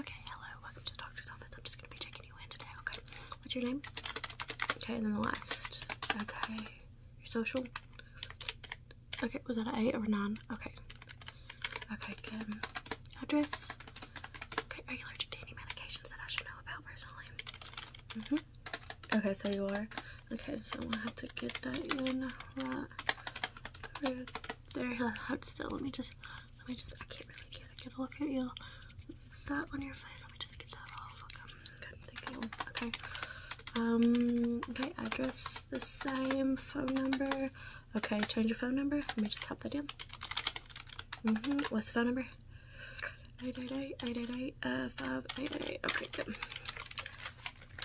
Okay, hello, welcome to the doctor's office. I'm just gonna be checking you in today, okay? What's your name? Okay, and then the last. Okay, your social. Okay, was that an eight or a nine? Okay. Okay, good. Address. Okay, are you allergic to any medications that I should know about personally? Mm-hmm. Okay, so you are. Okay, so I have to get that in right There, hold still. Let me just let me just, I can't really get a look at you. Is that on your face? Let me just get that off. Okay, good, Okay. Um, okay, address the same, phone number. Okay, change your phone number. Let me just tap that in. hmm What's the phone number? 888, 888, uh, 5888. Okay, good.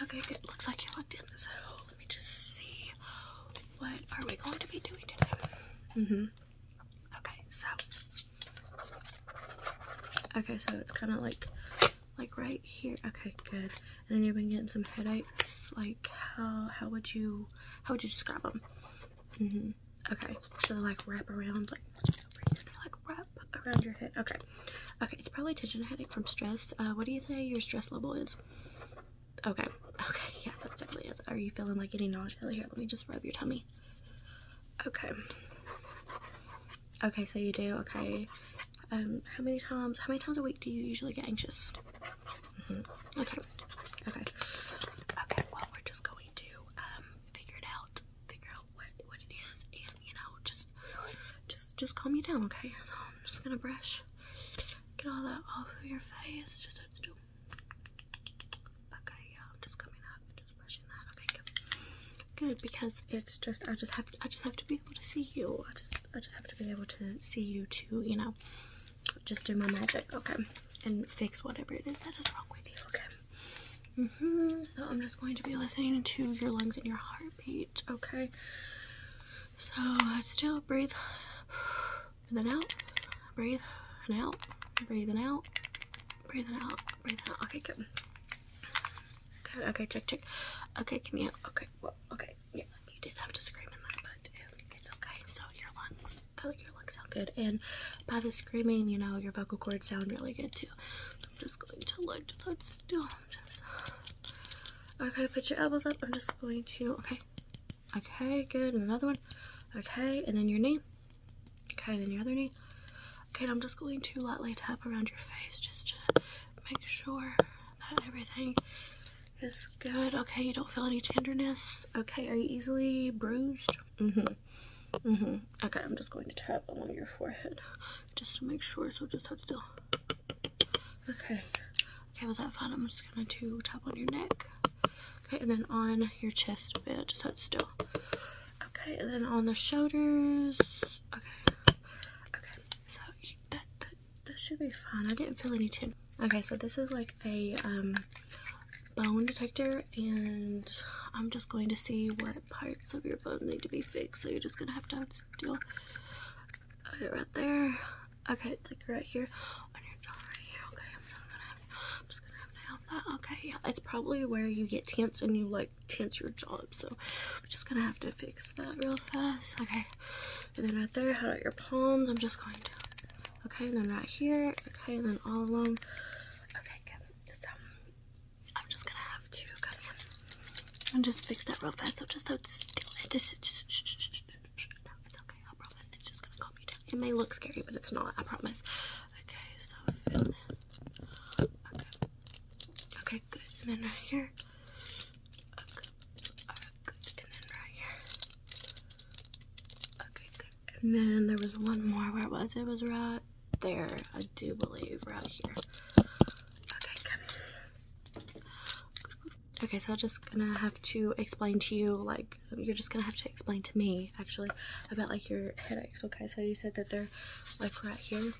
Okay, good. Looks like you logged in, so let me just see. What are we going to be doing today? hmm Okay, so okay, so it's kind of like like right here. Okay, good. And then you've been getting some headaches. Like how how would you how would you describe them? hmm Okay, so like wrap around like they like wrap around your head. Okay, okay, it's probably tension headache from stress. Uh, what do you think your stress level is? Okay. Okay. Yeah, that definitely is. Are you feeling like any nausea? Here, let me just rub your tummy. Okay. Okay, so you do. Okay. Um, how many times, how many times a week do you usually get anxious? Mm-hmm. Okay. Okay. Okay, well, we're just going to, um, figure it out. Figure out what, what it is and, you know, just, just, just calm you down, okay? So I'm just gonna brush Get all that off of your face. Just have to do. Okay, yeah, I'm just coming up and just brushing that. Okay, good. Good because it's just I just have I just have to be able to see you. I just I just have to be able to see you too. You know, just do my magic. Okay, and fix whatever it is that is wrong with you. Okay. Mm hmm So I'm just going to be listening to your lungs and your heartbeat okay? So I still breathe and then out, breathe and out, Breathing out, Breathing out, breathe out. Okay, good. okay, check, check. Okay, can you, okay, well, okay, yeah, you did have to scream in that, but it's okay. So your lungs, your lungs sound good. And by the screaming, you know, your vocal cords sound really good too. I'm just going to like just hold still. Okay, put your elbows up. I'm just going to, okay. Okay, good. another one. Okay, and then your knee. Okay, then your other knee. Okay, I'm just going to lightly tap around your face just to make sure that everything is good. Okay, you don't feel any tenderness. Okay, are you easily bruised? Mm-hmm. Mm-hmm. Okay, I'm just going to tap along your forehead just to make sure. So just hold still. Okay. Okay, was that fine, I'm just gonna do tap on your neck. Okay, and then on your chest a bit, just hold still. Okay, and then on the shoulders. Okay. Okay, so that, that, that should be fine. I didn't feel any tension. Okay, so this is like a um, bone detector, and I'm just going to see what part parts of your bones need to be fixed, so you're just gonna have to deal. Okay, right there. Okay, like right here on your jaw, right here. Okay, I'm just gonna have, to help that. Okay, yeah, it's probably where you get tense and you like tense your jaw So I'm just gonna have to fix that real fast. Okay, and then right there, how about your palms? I'm just going to. Okay, and then right here. Okay, and then all of them. Okay, good. I'm just gonna have to come in and just fix that real fast. So just don't steal it. This is just. No, it's okay. I promise. It's just gonna calm you down. It may look scary, but it's not. I promise. Okay, so fill in. Okay. Okay, good. And then right here. Okay. good. And then right here. Okay, good. And then there was one more. Where was It was right there, I do believe, right here. Okay, good. Okay, so I'm just gonna have to explain to you, like, you're just gonna have to explain to me, actually, about, like, your headaches, okay? So you said that they're, like, right here,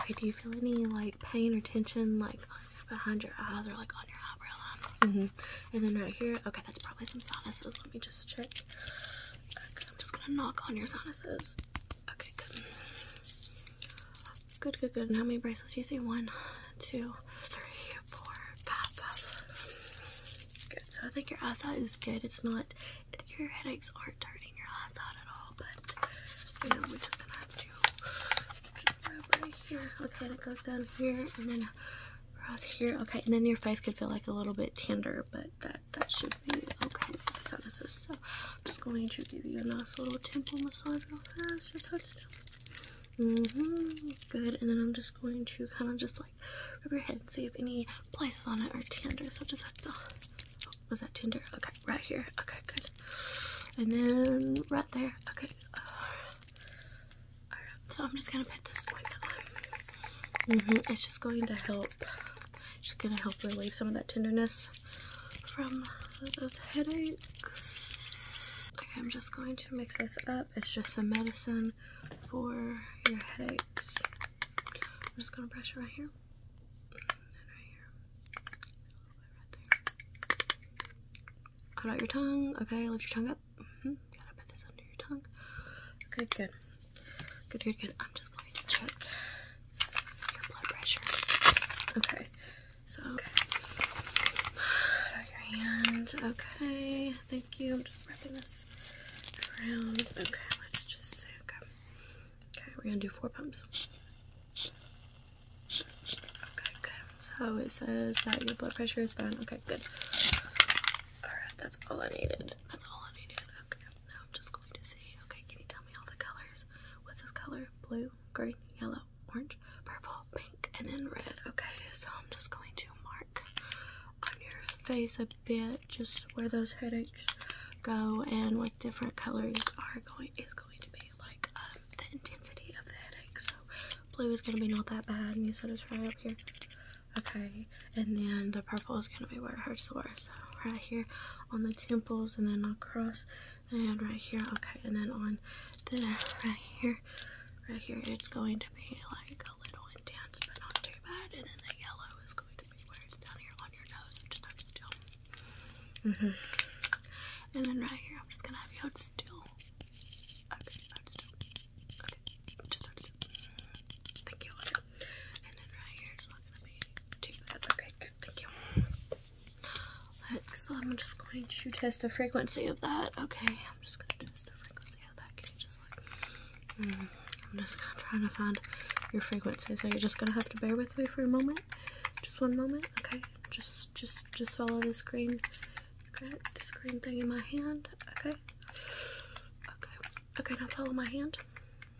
Okay, do you feel any, like, pain or tension, like, behind your eyes or, like, on your eyebrow hmm And then right here, okay, that's probably some sinuses. Let me just check. I'm just gonna knock on your sinuses. Okay, good. Good, good, good. how many bracelets do you see? One, two, three, four, five, five. Good. So I think your eyesight is good. It's not, your headaches aren't hurting your eyesight at all, but you know, we're just gonna have to just go right here. Okay, it goes down here and then across here. Okay, and then your face could feel like a little bit tender, but that that should be okay. This is so, I'm just going to give you a nice little temple massage real fast. Mm-hmm, good. And then I'm just going to kind of just like rub your head and see if any places on it are tender. So just like, oh, was that tender? Okay, right here. Okay, good. And then right there. Okay. Uh, so I'm just gonna put this mm-hmm, It's just going to help. Just gonna help relieve some of that tenderness from those headaches. Okay, I'm just going to mix this up. It's just a medicine for your headaches. I'm just gonna brush right here. Right out your tongue. Okay, lift your tongue up. Yep. Mm -hmm. Gotta put this under your tongue. Okay, good. Good, good, good. I'm just going to check your blood pressure. Okay. So, okay. Put out your hand. Okay. Thank you. I'm just wrapping this around. Okay. Let's just say, okay. Okay. We're gonna do four pumps. Okay, good. So it says that your blood pressure is fine. Okay, good. Alright, that's all I needed. That's all I needed. Okay, now I'm just going to see. Okay, can you tell me all the colors? What's this color? Blue, green, yellow, orange, purple, pink, and then red. Okay, so I'm just going to mark on your face a bit just where those headaches go and what different colors are going is going to be like um, the intensity of the headache. So blue is going to be not that bad and you said it's try up here okay and then the purple is going to be where her hurts the so right here on the temples and then across and right here okay and then on the right here right here it's going to be like a little intense but not too bad and then the yellow is going to be where it's down here on your nose which is still -hmm. and then right here I'm just gonna have you hold still Okay, I'm Okay, just Thank you. And then right here is not gonna be Okay, good. Thank you. Next, I'm just going to test the frequency of that. Okay, I'm just gonna test the frequency of that. Can you just like? Mm, I'm just trying to find your frequency, so you're just gonna have to bear with me for a moment. Just one moment. Okay, just, just, just follow the screen. Okay, this green thing in my hand. Okay. Okay. Okay, now follow my hand.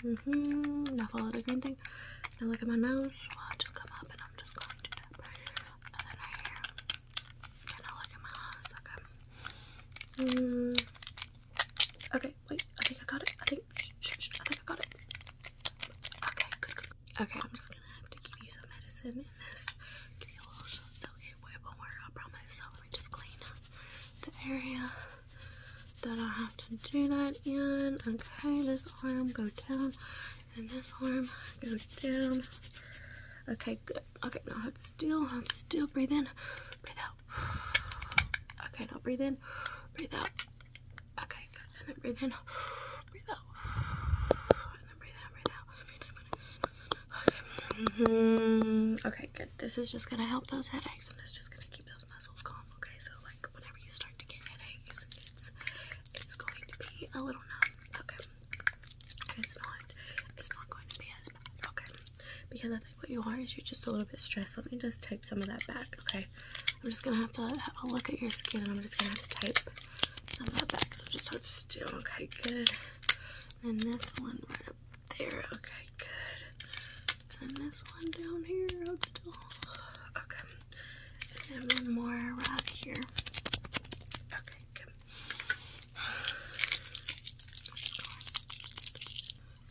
Mm-hmm. Now follow the green thing. Now look at my nose. Watch come up and I'm just going to tap right And then right here. now look at my eyes. Okay. Mm. Okay, wait. I think I got it. I think, I think I got it. Okay, Okay, gonna have to give you some medicine in this. Give you a little shot so it won't work, I promise. So let me just clean up the area that I have to do that in. Okay, this arm go down and this arm go down. Okay, good. Okay, now hold still, hold still, breathe in, breathe out. Okay, now breathe in, breathe out. Okay, good. breathe in, breathe out. Mm-hmm. Okay. good. This is just gonna help those headaches and it's just gonna keep those muscles calm, okay? So like whenever you start to get headaches, it's it's going to be a little numb, okay? And it's not it's not going to be as bad, okay? Because I think what you are is you're just a little bit stressed. Let me just tape some of that back, okay? I'm just gonna have to have a look at your skin and I'm just gonna have to type and that back, so just hold still. Okay, good. And this one right up there. Okay, good. And this one down here. Okay. And then one more right here. Okay, good.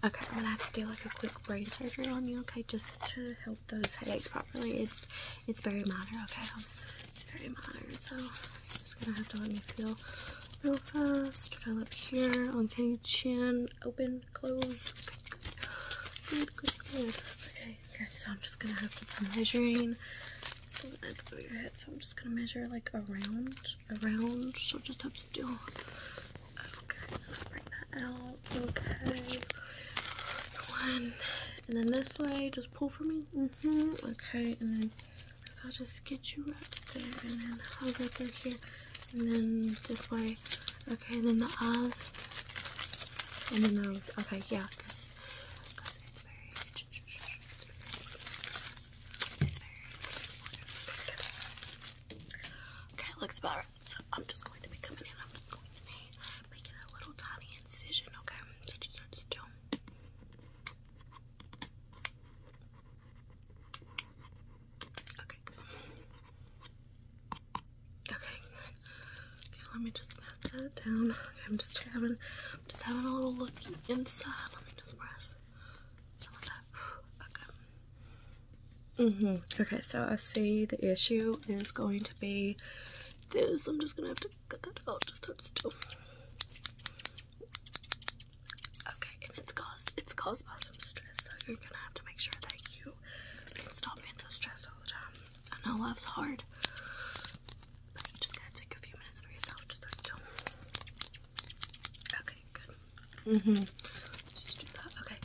Okay, I'm gonna have to do like a quick brain surgery on you, okay, just to help those headaches properly. It's it's very minor, okay very modern, so you're just gonna have to let me feel real fast. Feel up here, on chin, open, close. Good, good, good, good. Okay, okay, so I'm just gonna have to be measuring. So I'm just gonna measure like around, around. So just have to do. Okay, bring that out. Okay, one, and then this way. Just pull for me? Okay, and then I'll just get you right there, and then I'll go through here, and then this way. Okay, and then the eyes, and the nose. Okay, yeah, okay, looks about right making a little tiny incision, okay? So just start still. Okay, Okay, Okay, let me just pat that down. I'm just having just having a little look inside. Let me just brush some of that. Okay. Mm-hmm. Okay, so I see the issue is going to be this. I'm just gonna have to cut that out. Just hold still. Okay, and it's caused it's caused by some stress, so you're gonna have to make sure that you stop being so stressed all the time. I know hard, just gotta take a few minutes for yourself. Just hold still. Okay, good. Mhm. just do that. Okay.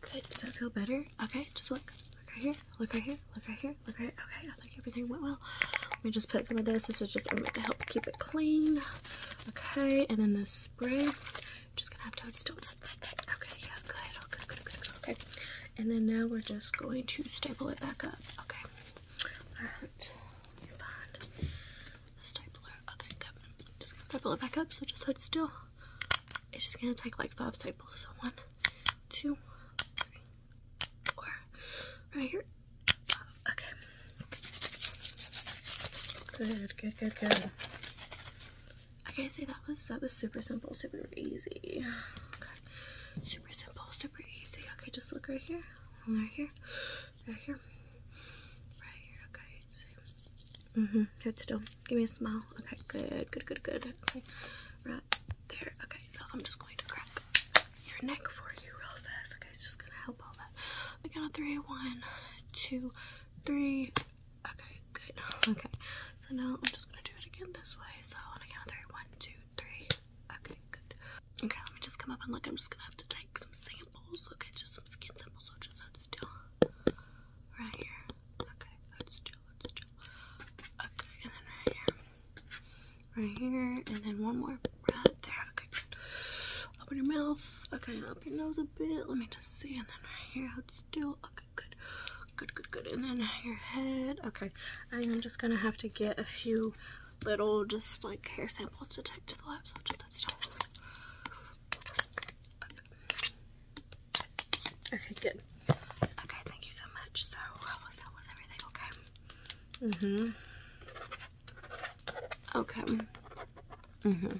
Good. Does that feel better? Okay, just look. Look right here. Look right here. Look right here. Look right. Okay, I think everything went well. Let me just put some of this. This is just meant to help keep it clean. Okay, and then the spray. Just gonna have toadstools. Okay, yeah, good. Oh, good, good, good, Okay. And then now we're just going to staple it back up. Okay. Alright. Let me find the stapler. Okay, good. Just gonna staple it back up, so just hold still it's just gonna take like five staples. So one, two, three, four. Right here. Okay. Good, good, good, good. Okay, see so that was that was super simple, super easy. Okay. Super simple, super easy. Okay, just look right here. Right here. Right here. Right here. Okay. Mm-hmm. Good still. Give me a smile. Okay, good, good, good, good. Okay. Right there. Okay, so I'm just going to crack your neck for you real fast. Okay, it's just gonna help all that. I got a three. One. Two. Three. Okay, good. Okay. So now I'm just gonna do it again this way. So I wanna on a three. One. Two. Three. Okay, good. Okay, let me just come up and look. I'm just gonna have to take some samples. Okay, just some skin samples, so just have to do right here. Okay, that's chill, that's chill. Okay, and then right here. Right here, and then one more right there. Okay, Open your mouth. Okay, open your nose a bit. Let me just see. And then right here, out still. Okay, good. Good, good, good. And then your head. Okay, I am just gonna have to get a few little, just like hair samples to take to the lab. So just that still. Okay, good. Okay, thank you so much. So, how was that? Was everything okay? Mm hmm. Okay. Mm hmm.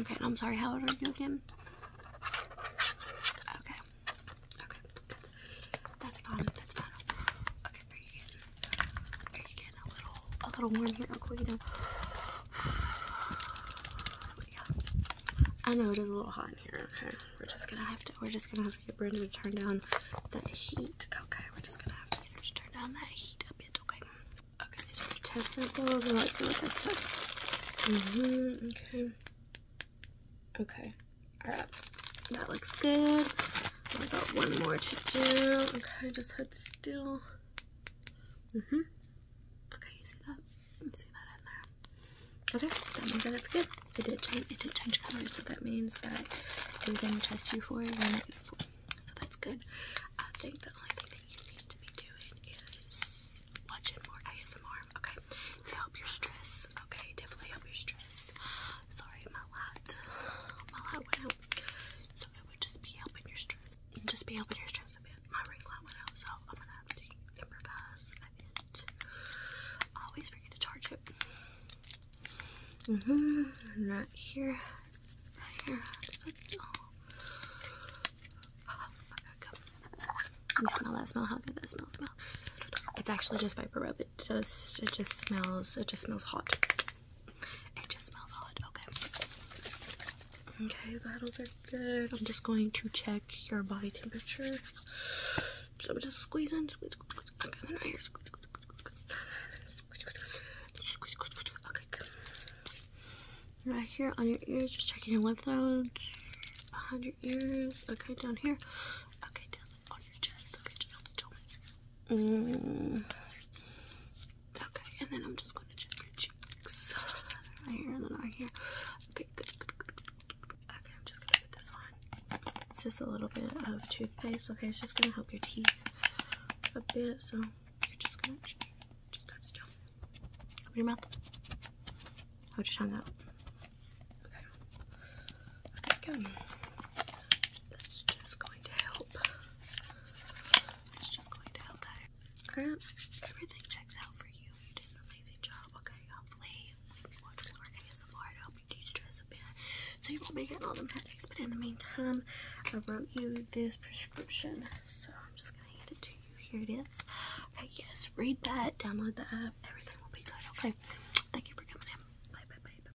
Okay, I'm sorry, how old are you again? Okay. Okay, that's, that's fine. That's fine. Okay, very good. Very good getting a little, a little warm here real know. I know it is a little hot in here. Okay, we're just gonna have to, we're just gonna have to get Brandon to turn down the heat. Okay, we're just gonna have to get him to turn down that heat a bit. Okay. Okay, these are test samples, and let's see what this says. Mm-hmm, okay. Okay. All right. That looks good. I got one more to do. Okay, just had to still hmm Okay, you see that? see that in there. Okay, that means that good. It did change it did change color, so that means that they didn't test you for it when it for. So that's good. I think the only thing you need to be doing is watching more ASMR, okay? To help your stress. Okay, definitely help your stress. Sorry, my light. My light went out it would just be helping your stress. Just be helping your stress a bit. My ring light went out, so I'm gonna have to improvise I always forget to charge it. hmm. And here. Right here. Just like, oh. You smell that smell? How good that smell smells. It's actually just Viper Rub. It just it just smells it just smells hot. It just smells odd. Okay. Okay, battles are good. I'm just going to check your body temperature. So I'm just squeezing, squeeze, squeeze, squeeze. I got right here. Squeeze, squeeze, squeeze, squeeze. Okay, good. Right here on your ears, just checking your lymph nodes. Behind your ears. Okay, down here. Okay, down on your chest. Okay, just on the Mm. Okay, and then I'm just going to check your cheeks. Right here then right here. Okay, good, good, good, Okay, I'm just going to put this on. It's just a little bit of toothpaste. Okay, it's just going to help your teeth a bit. So you're just going to just got still. Open your mouth. Hold oh, your tongue out. Okay. Okay, good. That's just going to help. It's just going to help out. Alright, everything checks out for you. You did an amazing job, okay? Hopefully, when you watch more ASMR, it to help you de-stress a bit. So you won't be getting all the headaches, but in the meantime, I wrote you this prescription. So I'm just going to hand it to you. Here it is. Okay, yes, read that, download the app, everything will be good, okay? Thank you for coming in. Bye, bye, bye, bye.